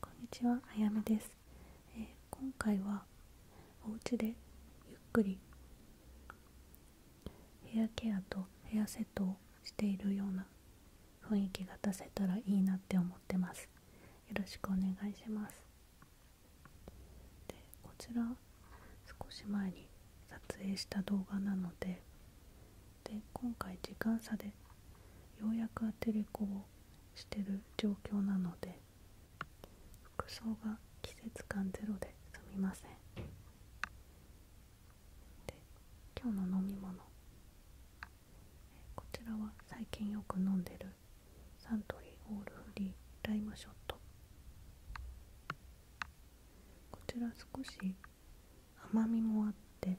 こんにちは、あやみです、今回はお家でゆっくりヘアケアとヘアセットをしているような雰囲気が出せたらいいなって思ってますよろしくお願いしますでこちら少し前に撮影した動画なのでで今回時間差でようやくアテレコをしてる状況なので服装が季節感ゼロですみませんで今日の飲み物こちらは最近よく飲んでるサントリーオールフリーライムショットこちら少し甘みもあって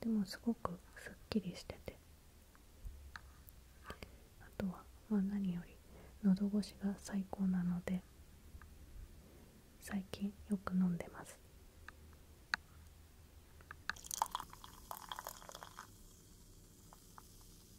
でもすごくすっきりしててあとはま何より喉越しが最高なので最近よく飲んでます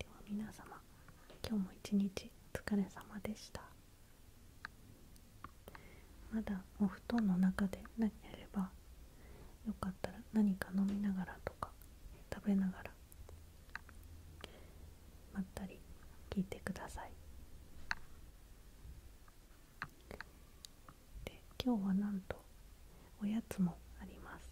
では皆様今日も一日お疲れ様でしたまだお布団の中で何やればよかったら何か飲みながらとか食べながらまったり聞いてくださいで今日はなんとおやつもあります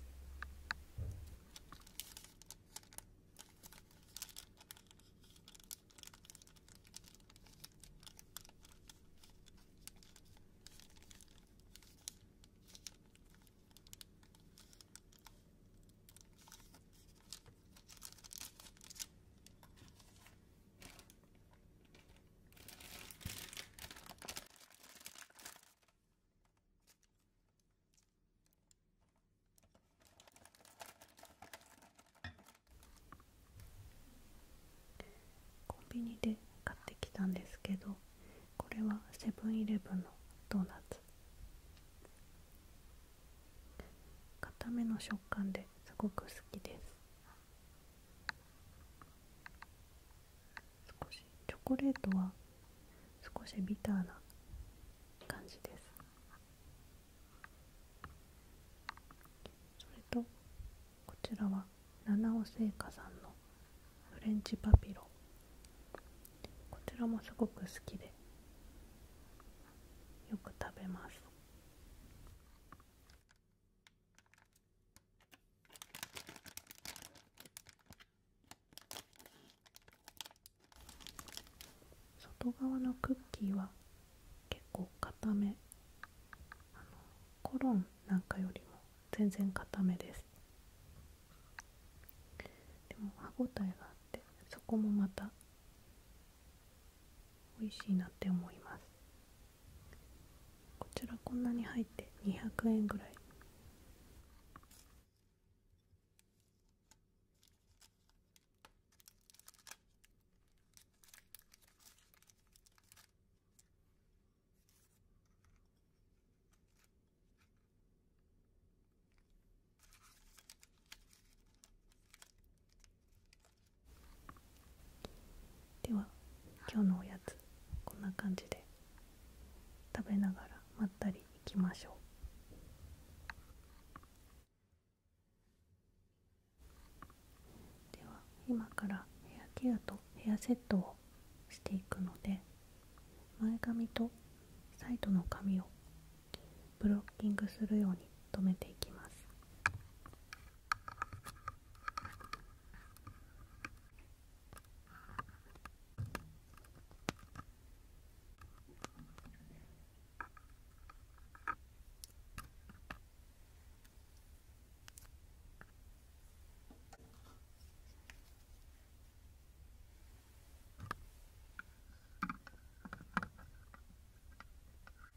コンビニで買ってきたんですけどこれはセブン‐イレブンのドーナツ固めの食感ですごく好きです少しチョコレートは少しビターな感じですそれとこちらは七尾製菓さんのフレンチパピロこちらもすごく好きでよく食べます外側のクッキーは結構固めコロンなんかよりも全然固めですでも歯ごたえがあってそこもまた美味しいなって思いますこちらこんなに入って200円ぐらいでは今日のおやつこんな感じで食べながらまったりいきましょうでは今からヘアケアとヘアセットをしていくので前髪とサイトの髪をブロッキングするように止めていきます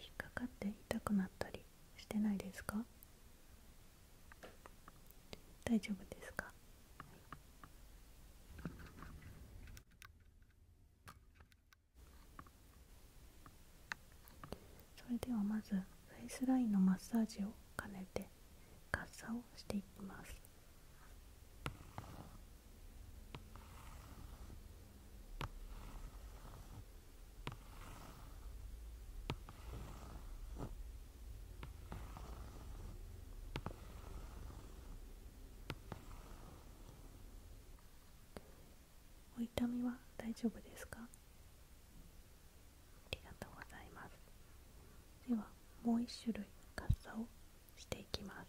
引っかかって痛くなったりしてないですか大丈夫ですか、それではまずフェイスラインのマッサージを兼ねてカッサをしていきますお痛みは大丈夫ですかありがとうございますではもう一種類カッサをしていきます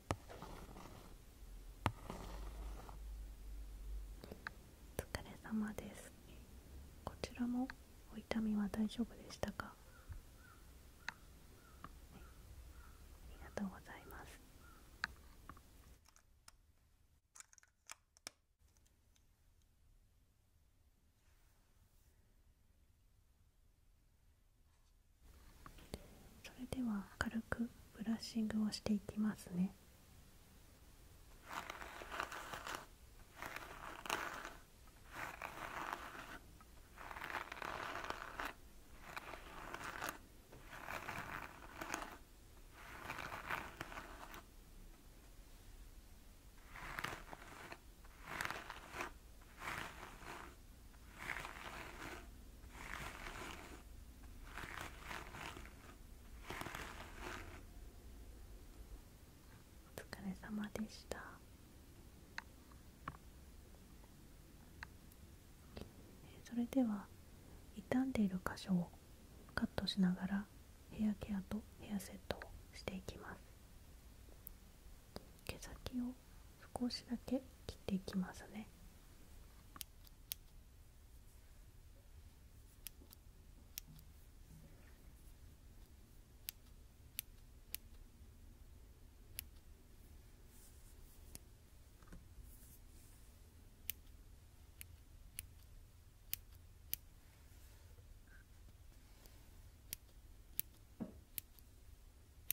お疲れ様ですこちらもお痛みは大丈夫でしたか、ありがとうございますそれでは軽くブラッシングをしていきますねお疲れ様でしたそれでは傷んでいる箇所をカットしながらヘアケアとヘアセットをしていきます毛先を少しだけ切っていきますね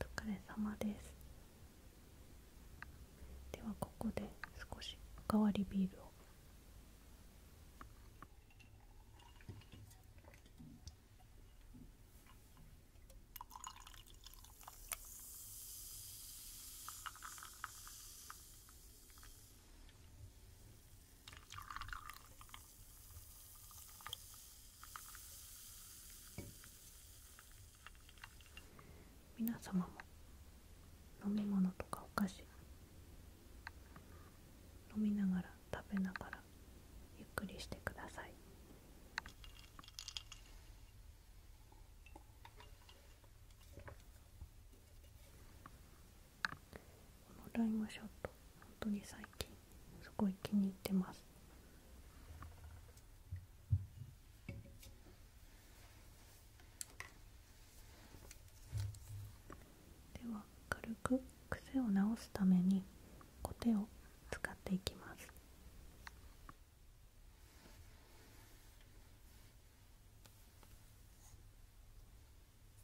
お疲れ様ですではここで少しおかわりビールを皆様も飲み物とかお菓子飲みながら食べながらゆっくりしてください。このライムショットと本当に最近すごい気に入ってますでは軽く癖を直すためにコ手を使っていきます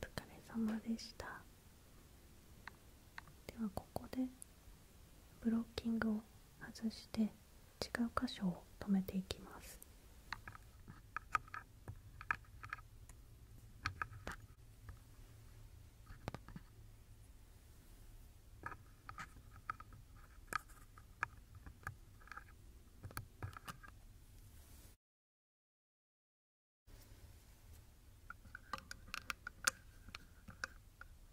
お疲れ様でしたではここでブロッキングを外して違う箇所を止めていきます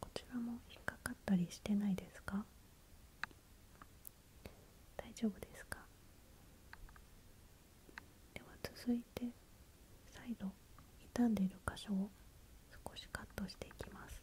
こちらも引っかかったりしてないですか大丈夫ですかでは続いて再度傷んでいる箇所を少しカットしていきます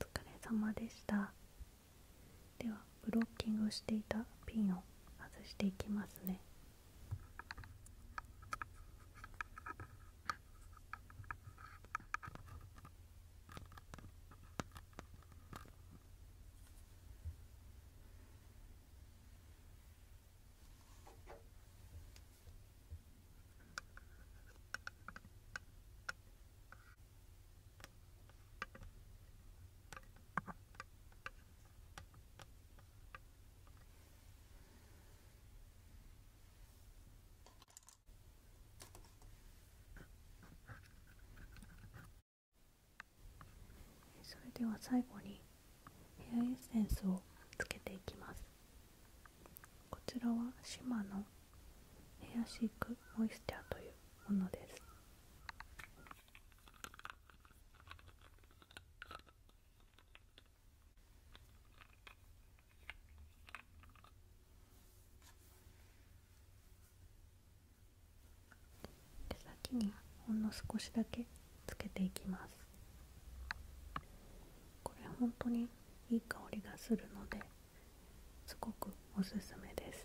お疲れ様でした。ではブロッキングしていたピンを外していきますねそれでは最後にヘアエッセンスをつけていきますこちらはシマのヘアシークモイスチャーというものです手先にほんの少しだけつけていきますこれ本当にいい香りがするのですごくおすすめです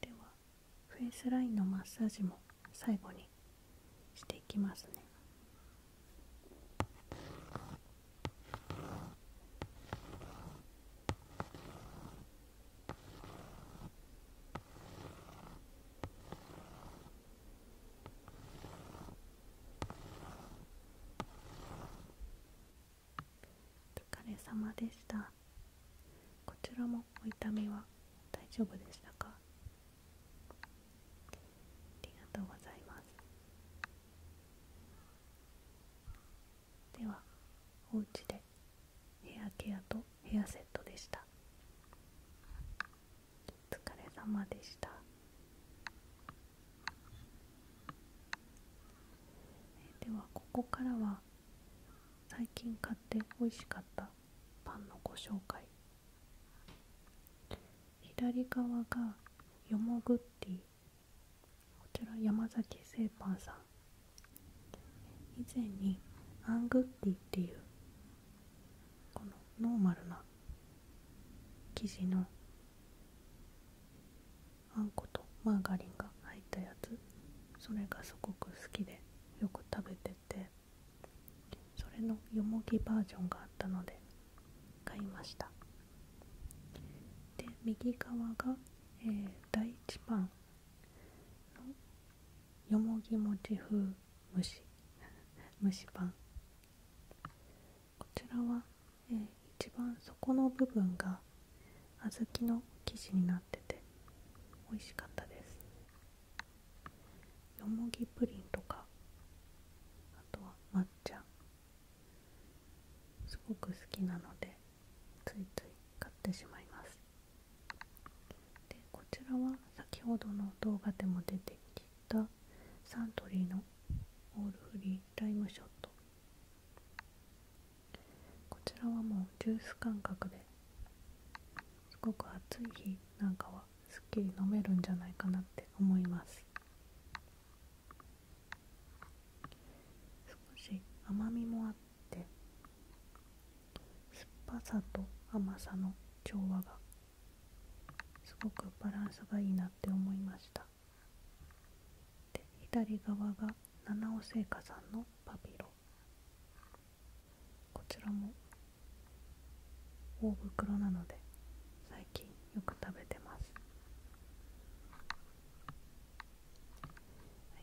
ではフェイスラインのマッサージも最後にしていきますねお疲れ様でしたこちらもお痛みは大丈夫でしたかありがとうございますではおうちでヘアケアとヘアセットでしたお疲れ様でしたではここからは最近買って美味しかったパンのご紹介左側がよもぐっティこちら山崎製パンさん以前にアングッティっていうこのノーマルな生地のあんことマーガリンが入ったやつそれがすごく好きでよく食べててそれのよもぎバージョンがあったので買いましたで右側が、えー、第1パンよもぎ餅風蒸し蒸しパンこちらは、え一番底の部分が小豆の生地になってて美味しかったですよもぎプリンとかあとは抹茶すごく好きなのでついつい買ってしまいますでこちらは先ほどの動画でも出てきたサントリーのオールフリーライムショットこちらはもうジュース感覚ですごく暑い日なんかはすっきり飲めるんじゃないかなって思います少し甘みもあって酸っぱさと甘さの調和がすごくバランスがいいなって思いましたで左側が七尾製菓さんのパピロこちらも大袋なので最近よく食べてます、は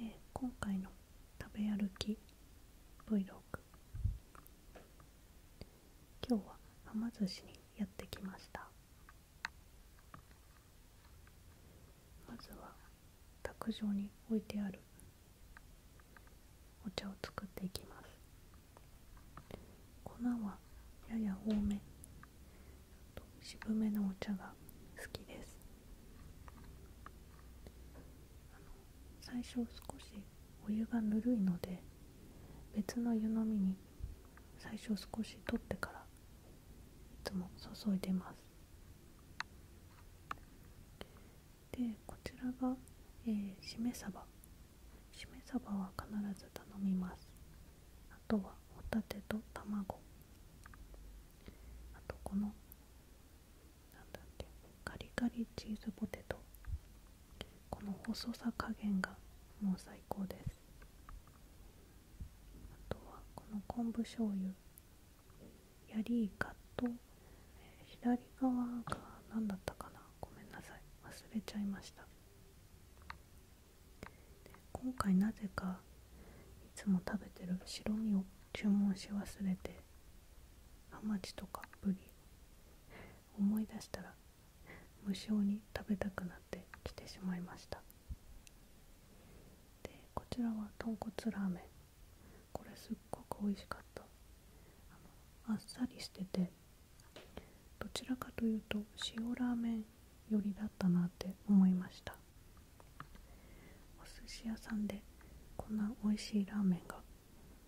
え今回の食べ歩き v 6 o g 今日ははま寿司にやってきましたまずは卓上に置いてあるお茶を作っていきます粉はやや多め渋めのお茶が好きです最初少しお湯がぬるいので別の湯のみに最初少し取ってからいつも注いでますでこちらが、えー、しめ鯖しめ鯖は必ず頼みますあとはホタテと卵あとこのなんだっけカリカリチーズポテトこの細さ加減がもう最高ですあとはこの昆布醤油やりイカと、え左側が何だったかなごめんなさい忘れちゃいました今回なぜかいつも食べてる白身を注文し忘れてハマチとかブリ思い出したら無性に食べたくなってきてしまいましたでこちらは豚骨ラーメンこれすっごく美味しかったあっさりしててどちらかというと塩ラーメン寄りだったなって思いましたお寿司屋さんでこんな美味しいラーメンが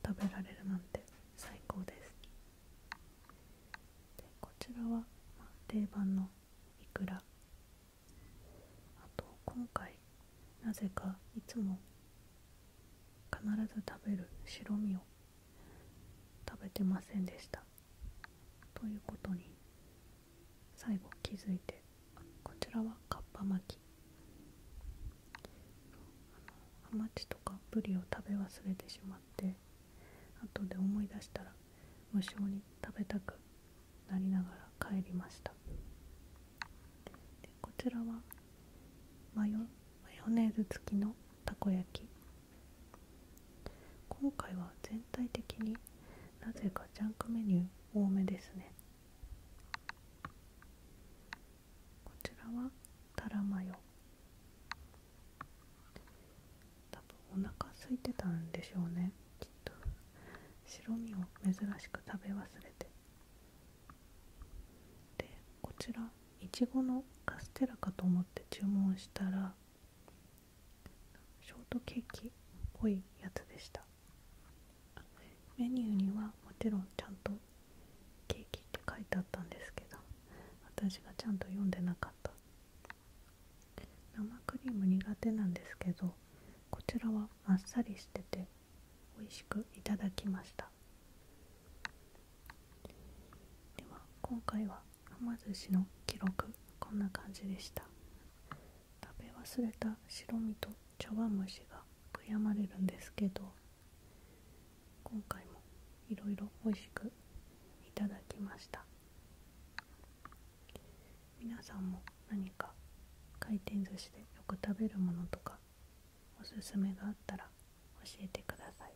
食べられるなんて最高ですこちらは、定番のいくらあと今回なぜかいつも必ず食べる白身を食べてませんでしたということに最後気づいてこちらはかっぱ巻きハマチとかブリを食べ忘れてしまって後で思い出したら無性に食べたくなりながら帰りましたでこちらはマヨマヨネーズ付きのたこ焼き今回は全体的になぜかジャンクメニュー多めですねこちらはたらマヨ多分お腹空いてたんでしょうねきっと白身を珍しく食べ忘れてでこちらいちごのカステラかと思って注文したらショートケーキっぽいやつでしたメニューにはもちろんちゃんとケーキって書いてあったんですけど私がちゃんと読んでなかった生クリーム苦手なんですけどこちらはあっさりしてて美味しくいただきましたでは今回ははま寿司の記録こんな感じでした食べ忘れた白身と茶碗蒸しが悔やまれるんですけど今回もいろいろ美味しくいただきました皆さんも何か回転寿司でよく食べるものとかおすすめがあったら教えてください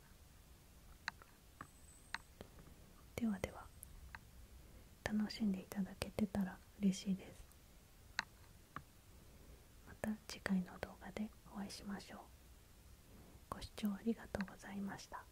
ではでは楽しんでいただけてたら嬉しいですまた次回の動画でお会いしましょうご視聴ありがとうございました